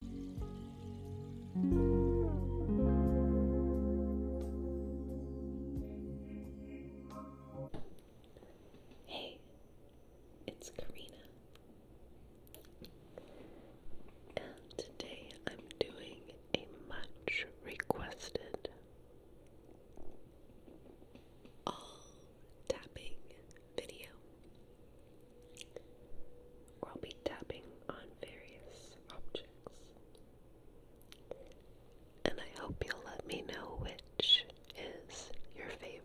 Hey, it's Karina, and today I'm doing a much requested all tapping video. I'll be tapping on various objects. And I hope you'll let me know which is your favorite.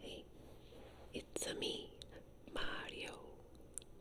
Hey, it's me, Mario.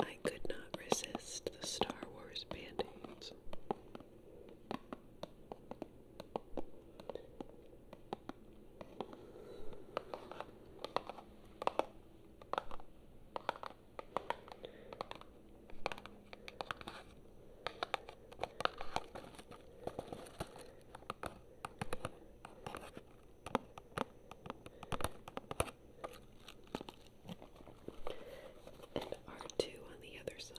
I could not resist the Star Wars band aids. And R2 on the other side.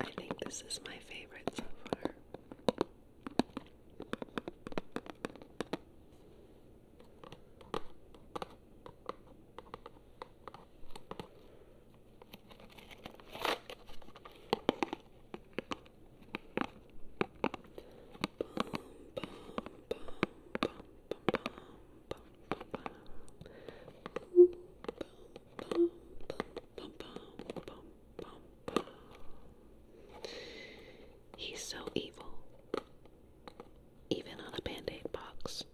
I think this is my favorite so far. He's so evil, even on a band aid box.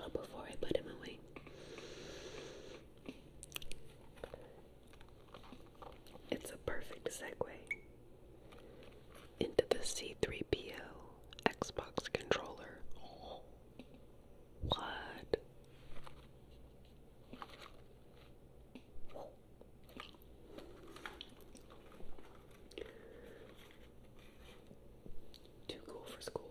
Oh, before I put him away. It's a perfect segue into the C3PO Xbox controller. What? Too cool for school.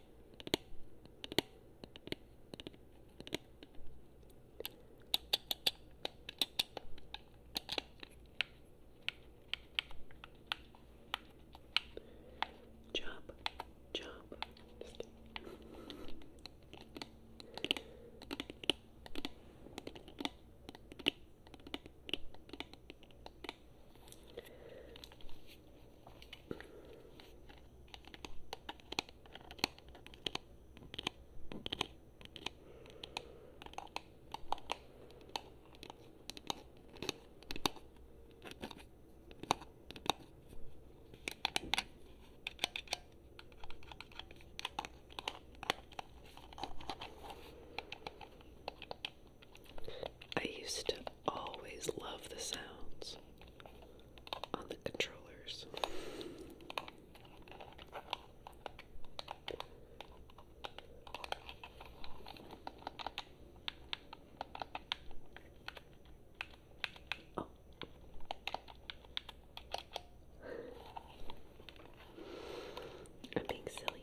Chop, chop. Just I used to always love the sounds on the controllers. Oh. I'm being silly.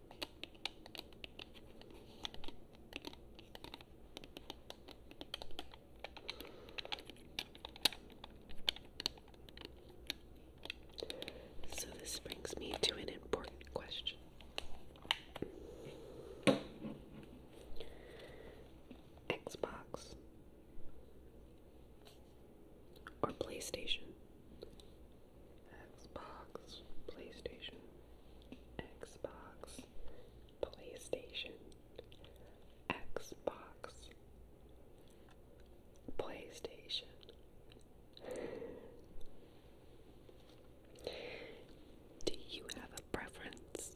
So, this brings me to an important question. Xbox or PlayStation? Xbox, PlayStation. Xbox, PlayStation, Xbox, PlayStation. Do you have a preference?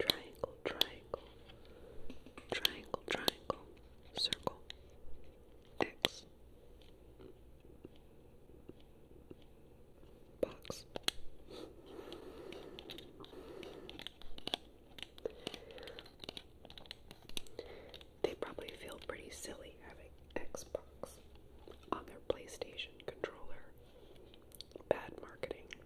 triangle, triangle, triangle, triangle, circle, X, box. They probably feel pretty silly having Xbox on their PlayStation controller. Bad marketing.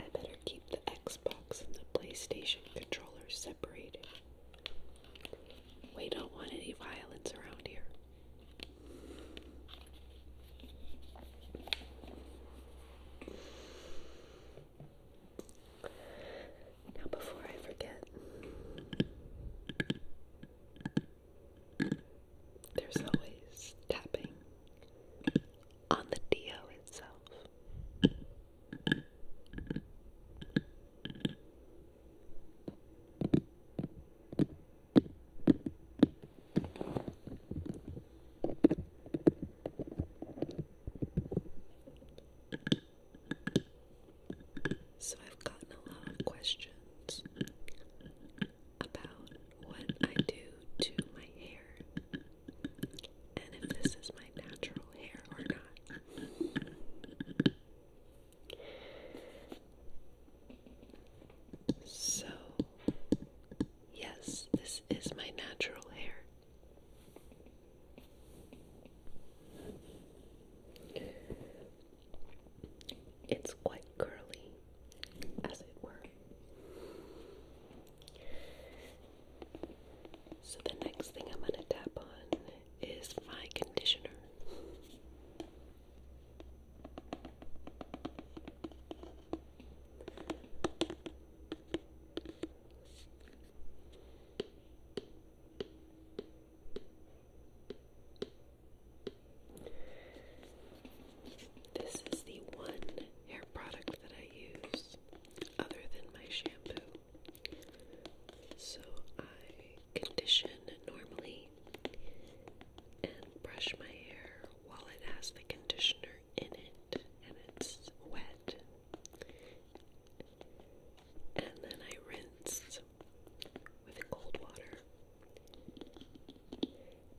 I better keep the Xbox and the PlayStation controllers separated. We don't want any violence around here. Now, before I forget, there's always tapping on the Dio itself. So, I've gotten a lot of questions about what I do to my hair and if this is my natural hair or not. So, yes, this is my natural hair. It's quite curly, as it were. So, the next thing I'm going to tap on is my conditioner. This is the one hair product that I use other than my shampoo. So I condition normally and brush my hair while it has the conditioner in it and it's wet. And then I rinse with cold water.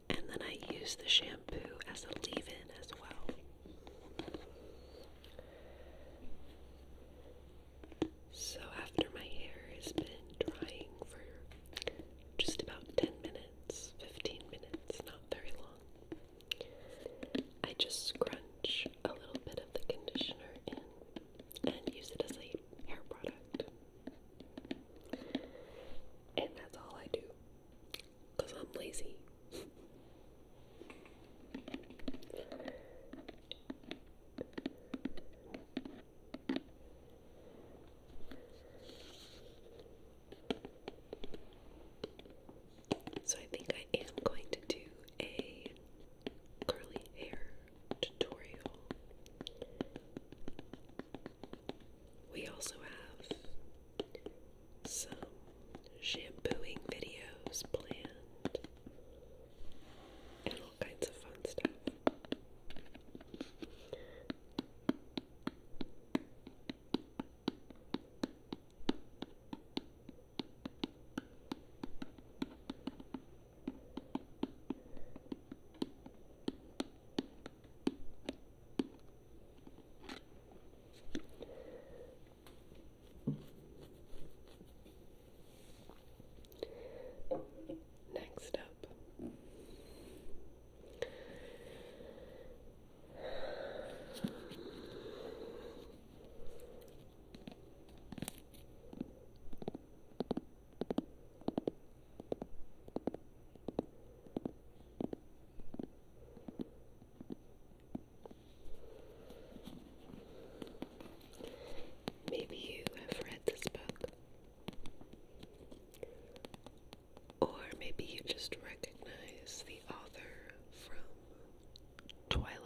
And then I use the shampoo as a leave in as well. So, after my hair has been drying for just about 10 minutes, 15 minutes, not very long, I just scrunch a little bit of the conditioner in and use it as a hair product. And that's all I do because I'm lazy. So I think I am going to do a curly hair tutorial. We also have some shampooing videos planned and all kinds of fun stuff. Next up, maybe you have read this book. Or maybe you just recognize the author from Twilight.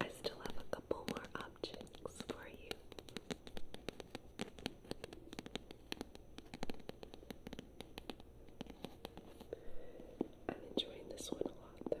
I still have a couple more objects for you. I'm enjoying this one a lot though.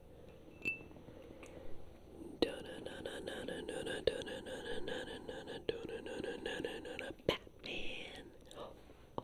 Batman. Oh. Oh.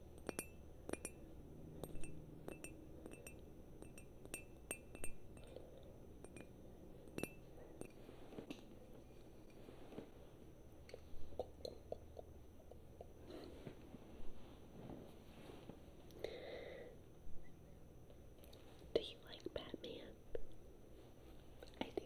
Do you like Batman? I do.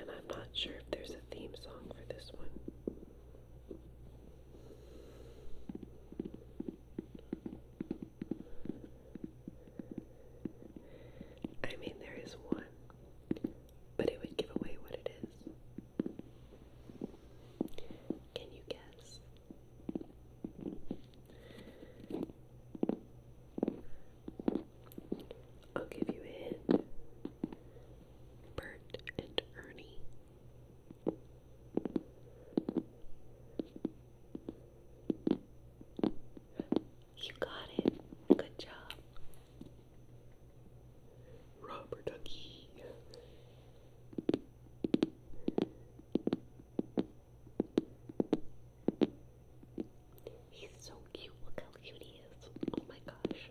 And I'm not sure if there's a theme song for this one. I mean, there is one, but it would give away what it is. Can you guess? I'll give you a hint. Bert and Ernie. You got it. Good job. Rubber ducky. He's so cute. Look how cute he is. Oh my gosh.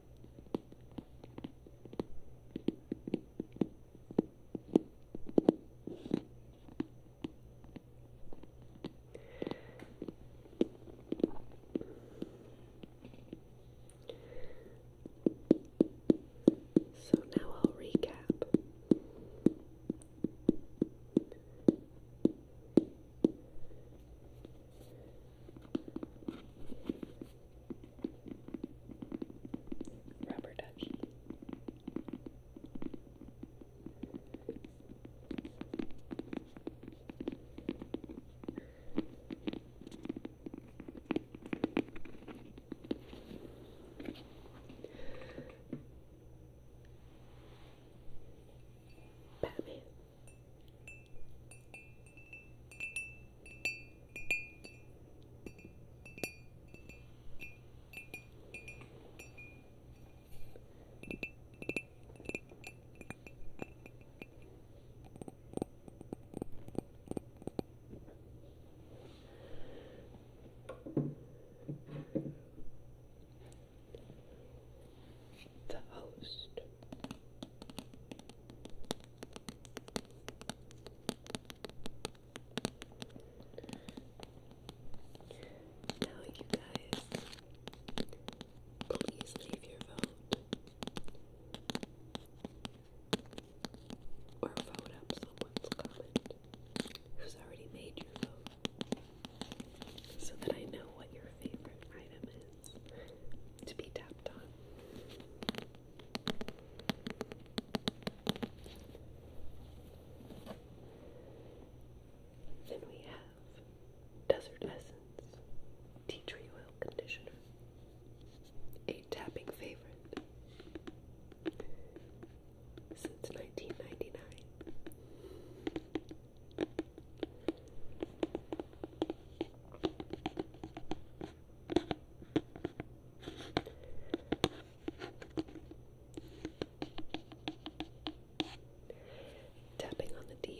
So now I'll recap. Rubber ducky. Batman. The host now, you guys, please leave your vote or vote up someone's comment who's already made your vote so that I know what your favorite item is to be tapped on. Then we have Desert Essence Tea Tree Oil Conditioner, a tapping favorite since 1999. Tapping on the Dio.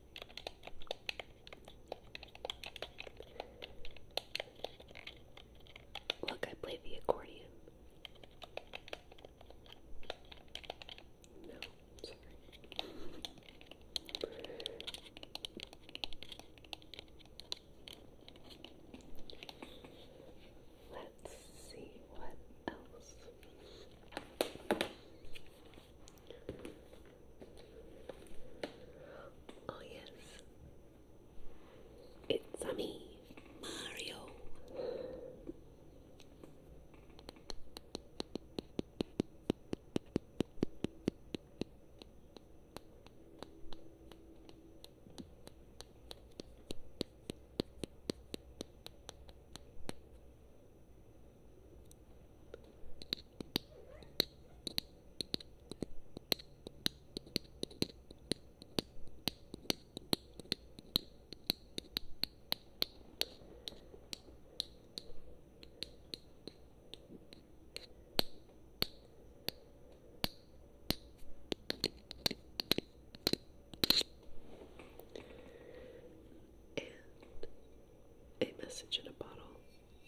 Look, I play the accordion. No, sorry. Let's see what else. Oh, yes. It's me, Mario. And a message in a bottle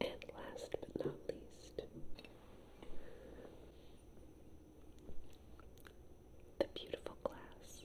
And last but not least, the beautiful glass.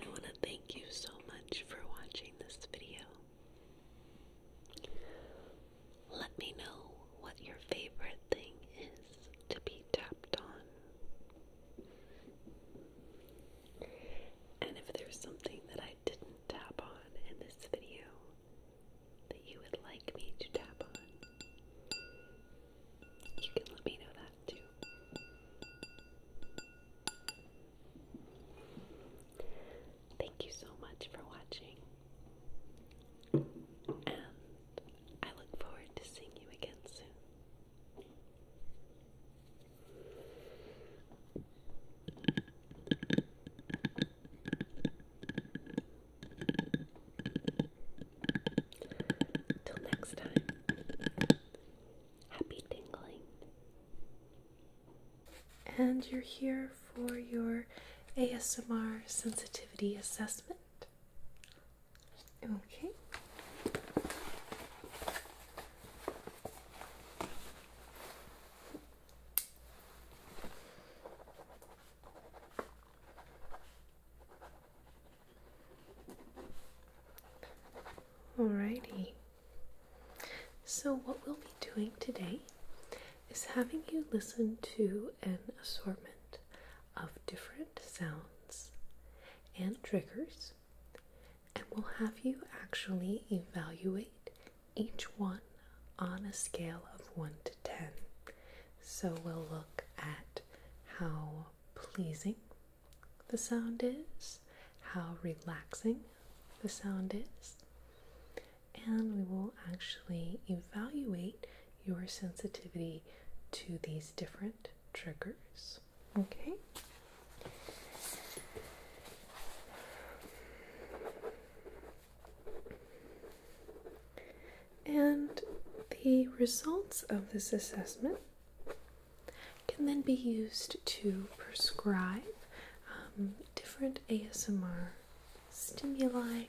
I want to thank you so much for watching this video. Let me know what your favorite thing is to be tapped on. And if there's something that I didn't tap on in this video that you would like me to tap on, you can let me know that too. Thank you so much for watching, and I look forward to seeing you again soon. Till next time, happy tingling. And you're here for your ASMR sensitivity assessment. Okay. Alrighty. So, what we'll be doing today is having you listen to an assortment of different sounds and triggers, and we'll have you actually evaluate each one on a scale of 1 to 10. So we'll look at how pleasing the sound is, how relaxing the sound is, and we will actually evaluate your sensitivity to these different triggers. Okay. And the results of this assessment can then be used to prescribe um, different ASMR stimuli